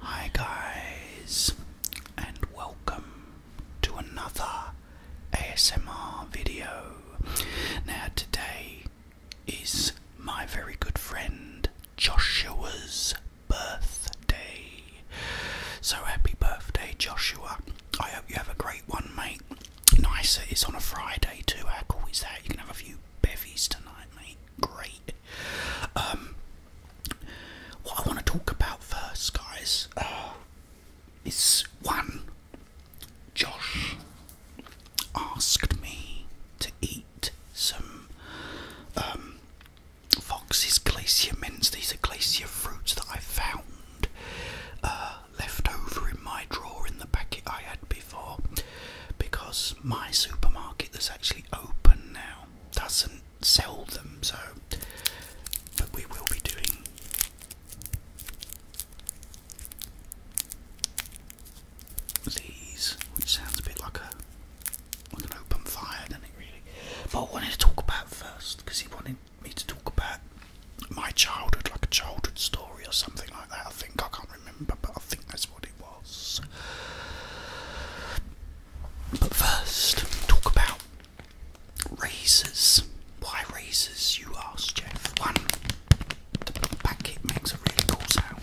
Hi guys, and welcome to another ASMR video. Now today is my very good friend Joshua's birthday. So happy birthday Joshua. I hope you have a great one mate. Nice, it's on a Friday too, how cool is that? You can have a few bevies tonight mate, great. Um, what I want to talk about first, guys, is one. Josh asked me to eat some um, Fox's Glacier Mints. These are glacier fruits that I found uh, left over in my drawer in the packet I had before because my supermarket that's actually open now. Doesn't sell them, so but we will be doing these, which sounds a bit like a like an open fire, does really? But I wanted to talk about first because he wanted me to talk about my childhood, like a childhood story or something like that. I think I can't remember, but I think that's what but first, talk about razors. Why razors, you ask, Jeff? One, the packet makes a really cool sound.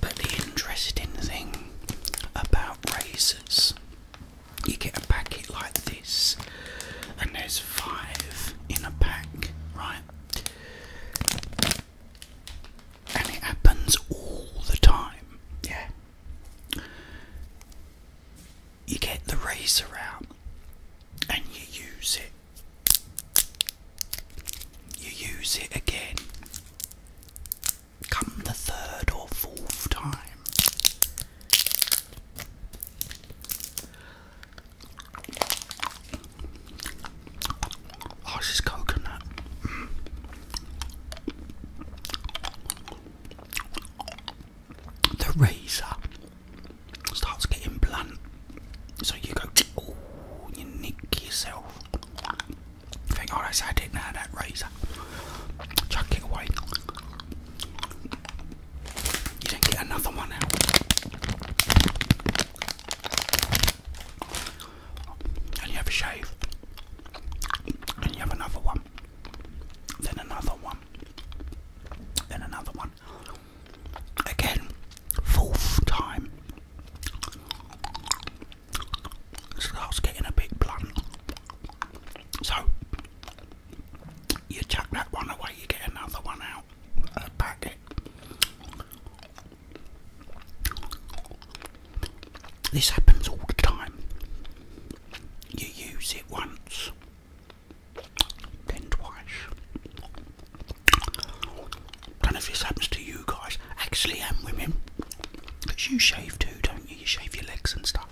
But the interesting thing about razors, you get a packet like this, and there's five in a pack, right? And it happens all the time, yeah. You get the razor out and you use it you use it again. Come the third or fourth time. Oh, this coconut. The razor starts getting blunt. So you go, oh, you nick yourself. Think, oh, that's I did now, that razor. Chuck away. You didn't get another one out. And you have a shave. And you have another one. Then another one. Then another one. Again, fourth time starts getting a bit blunt. So you chuck that one away, you get another one out a packet. This happens all the time. You use it once, then twice, I don't know if this happens to you guys, actually, and um, women, because you shave too, don't you? You shave your legs and stuff.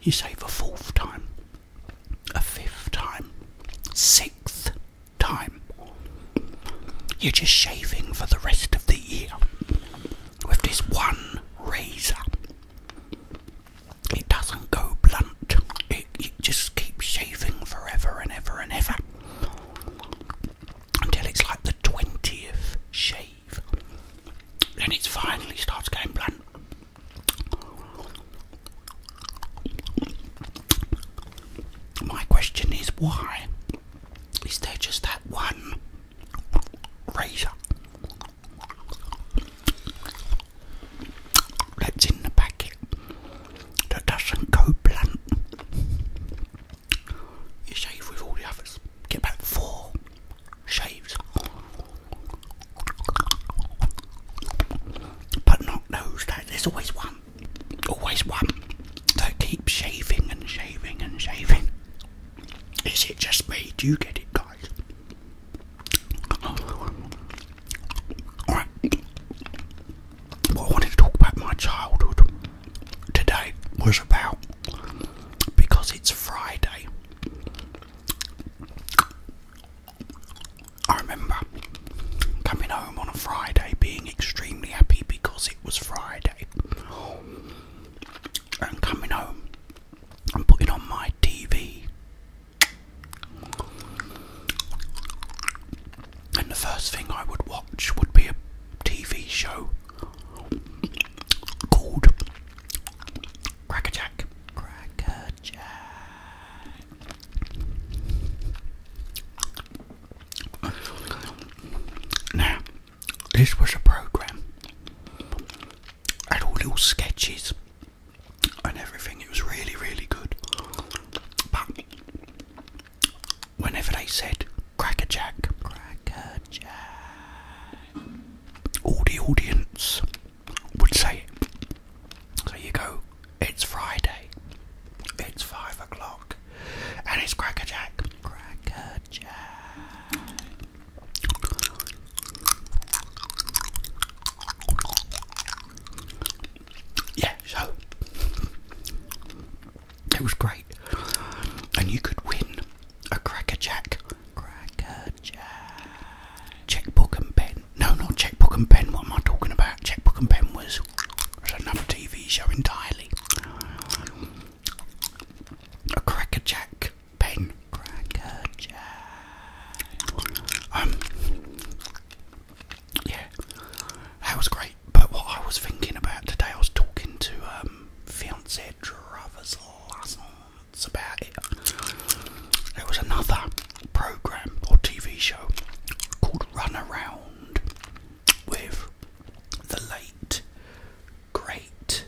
You shave a fourth time, a fifth time, sixth time. You're just shaving for the rest of the year with this one razor. It doesn't go blunt. It, just keeps shaving forever and ever and ever until it's like the twentieth shave. and it finally starts getting blunt. My question is why is there just that one razor. That's in the packet that doesn't go blunt. You shave with all the others. Get about four shaves. But not those there's always one. Always one. So keep shaving and shaving and shaving. Is it just me? Do you get it guys? Alright. What I wanted to talk about my childhood today was about because it's Friday. I remember coming home on a Friday being extremely happy because it was Friday and coming home and putting on my TV. And the first thing I would watch would be a TV show called Crackerjack. Crackerjack. This was a program. Had all little sketches and everything. It was really, really good. But whenever they said crackerjack, crackerjack, all the audience would say So you go, it's Friday, it's five o'clock, and it's crackerjack, crackerjack. Yeah, so it was great, and you could win a cracker jack, cracker jack, checkbook and pen. No, not checkbook and pen. What am I talking about? Checkbook and pen was, was another TV show entirely. A cracker jack um, yeah, that was great. But what I was thinking about today, I was talking to um, fiance Travis Lassons about it. There was another program or TV show called Run Around with the late, great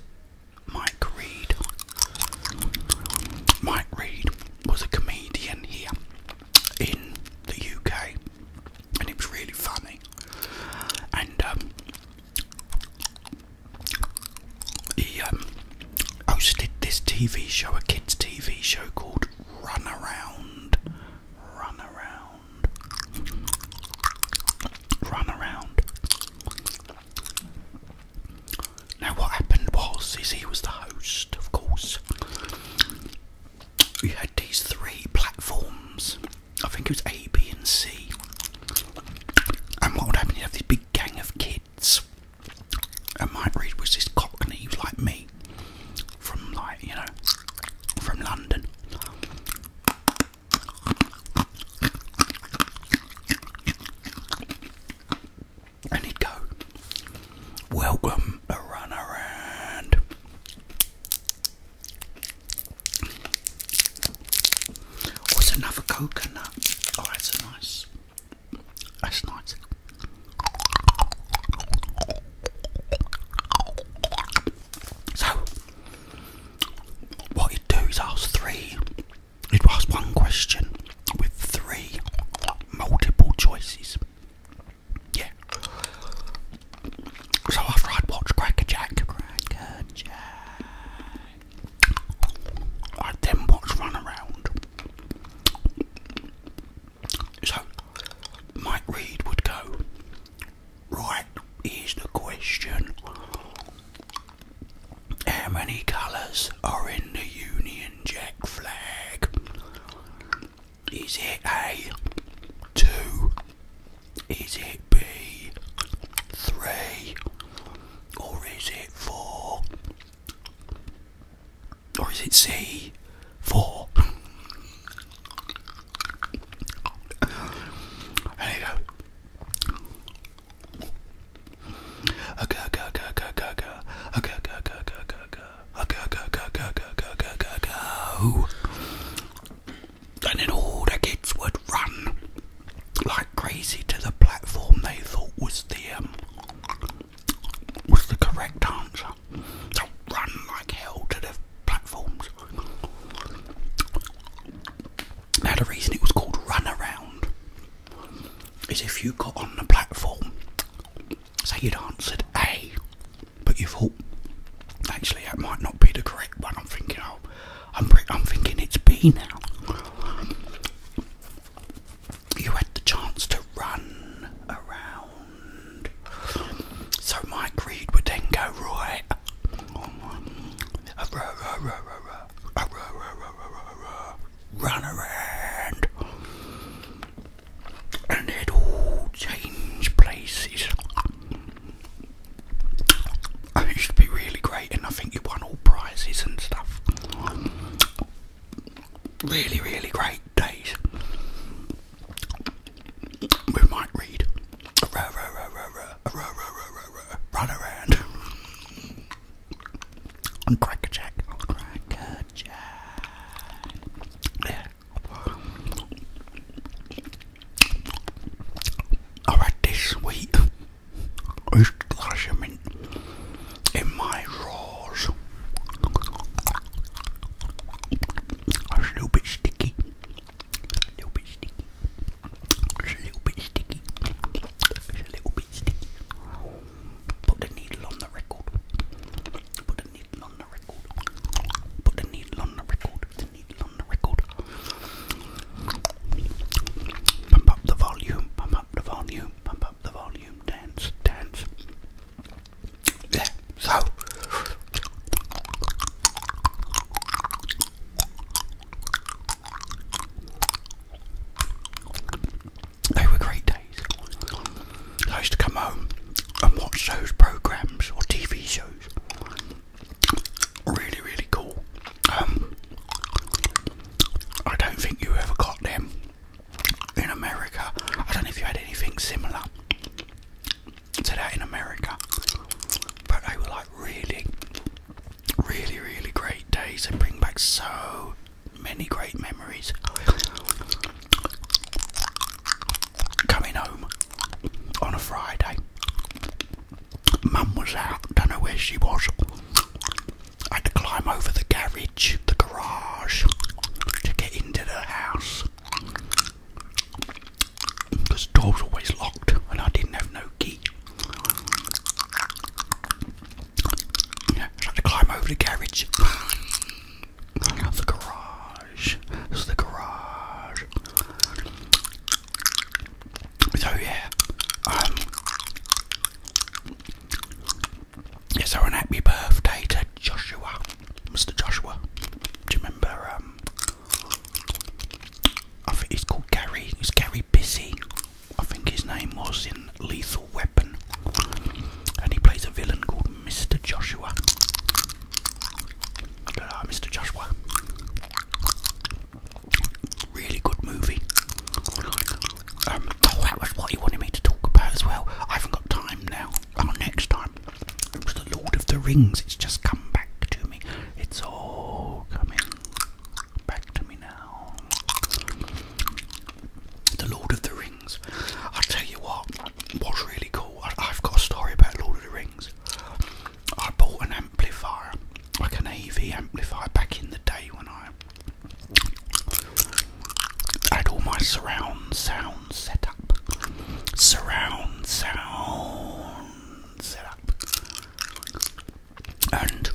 Mike Reed. Mike Reed was a comedian here in the UK, and it was really funny. And um, he um, hosted this TV show, a kids' TV show called Run Around. Run Around. Run Around. Now what happened was is he was the host, of course. We had these three platforms. I think it was A, B and C. And what would happen, you have this big gang of kids. And my breed was this cockney, he was like me. From like, you know, from London. And he'd Welcome a run around. What's another coconut? Oh, that's nice. That's nice. So, what he'd do is ask three, he'd ask one question with three multiple choices. Yeah. So after I'd watched Cracker Jack, Cracker Jack, I'd then watch Run So Mike Reed would go, Right, here's the question How many colours are in the Union Jack flag? Is it A? Two? Is it B? Three? Or is it four? Or is it C? Four? There you and then all the kids would run like crazy to the platform they thought was the um, was the correct answer. So run like hell to the now, the reason it was called run around is if you got on the platform, say you'd answered A, but you thought, actually, that might not be the correct one. I'm thinking, oh, I'm, I'm thinking it's B now. You had the chance to run around. So my greed would then go, right, Run around, and it all change places. it used be really great, and I think you won all prizes and stuff. Really, really great days we might read Run Around and Cracker Jack. Cracker Jack. Yeah. I read this week. I used to glass them in, my drawers. a little bit sticky. A little bit sticky. a little bit sticky. a little bit sticky. Put the needle on the record. Put the needle on the record. Put the needle on the record. The needle on the record. Pump up the volume. Pump up the volume. Pump up the volume. Dance. Dance. Yeah. So they were great days. I used to come home and watch those programs or TV shows. Really, really cool. Um, I don't think you ever got them in America. I don't know if you had anything similar to that in America. But they were like really, really, really great days. They bring back so many great memories. Coming home on a Friday, Mum was out, don't know where she was. I had to climb over the garage, the garage, to get into the house because the door's always locked and I didn't have no key. had to climb over the garage. the garage. This is the garage. So yeah, um, yeah, so an happy birthday to Joshua, Mr. Joshua. Do you remember um, I think he's called Gary. It's Gary Busy. I think his name was in Lethal Weapon, and he plays a villain called Mr. Joshua. Mr. Joshua. Really good movie. Um, oh, that was what he wanted me to talk about as well. I haven't got time now. Oh, next time. It was the Lord of the Rings. It's just come back to me. It's all coming back to me now. The Lord of the Rings. I'll tell you what, what's really cool, I, I've got a story about Lord of the Rings. I bought an amplifier, like an AV amplifier back in the day when I had all my surround sound set up. Surround sound. And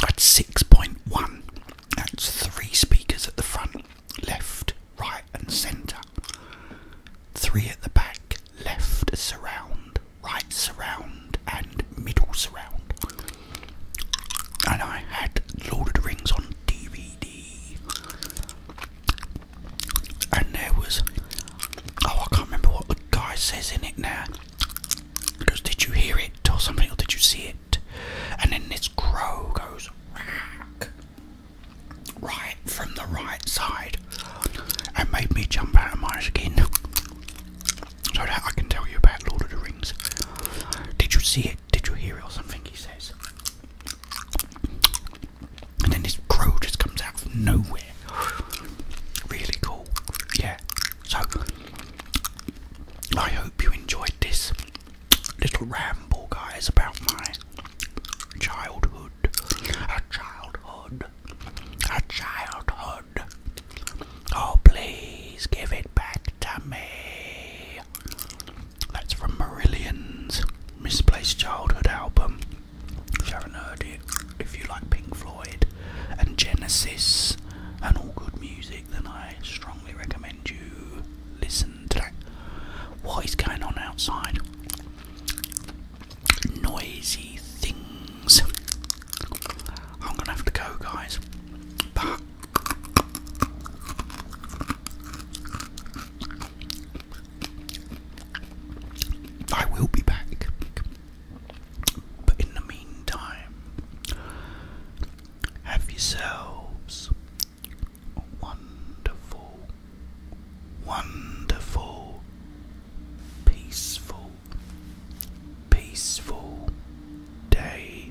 that's six point one. That's three speakers at the front, left, right, and centre. Three at the back, left surround, right surround, and middle surround. And I had Lord of the Rings on DVD and there was oh I can't remember what the guy says in it now. He did you hear it or something, or did you see it? And then this crow goes right from the right side, and made me jump out of my skin. So that I can tell you about Lord of the Rings. Did you see it? Did you hear it or something? He says. And then this crow just comes out of nowhere. Really cool. Yeah. So I hope you enjoyed this little ramble guys about my childhood. A childhood. A childhood. Oh please give it back to me. That's from Marillion's Misplaced Childhood album. If you haven't heard it, if you like Pink Floyd and Genesis and all good music, then I strongly recommend you listen to that. What is going on outside? Noisy things. I'm gonna have to go, guys. But I will be back. But in the meantime, have yourselves wonderful, wonderful, peaceful, peaceful day.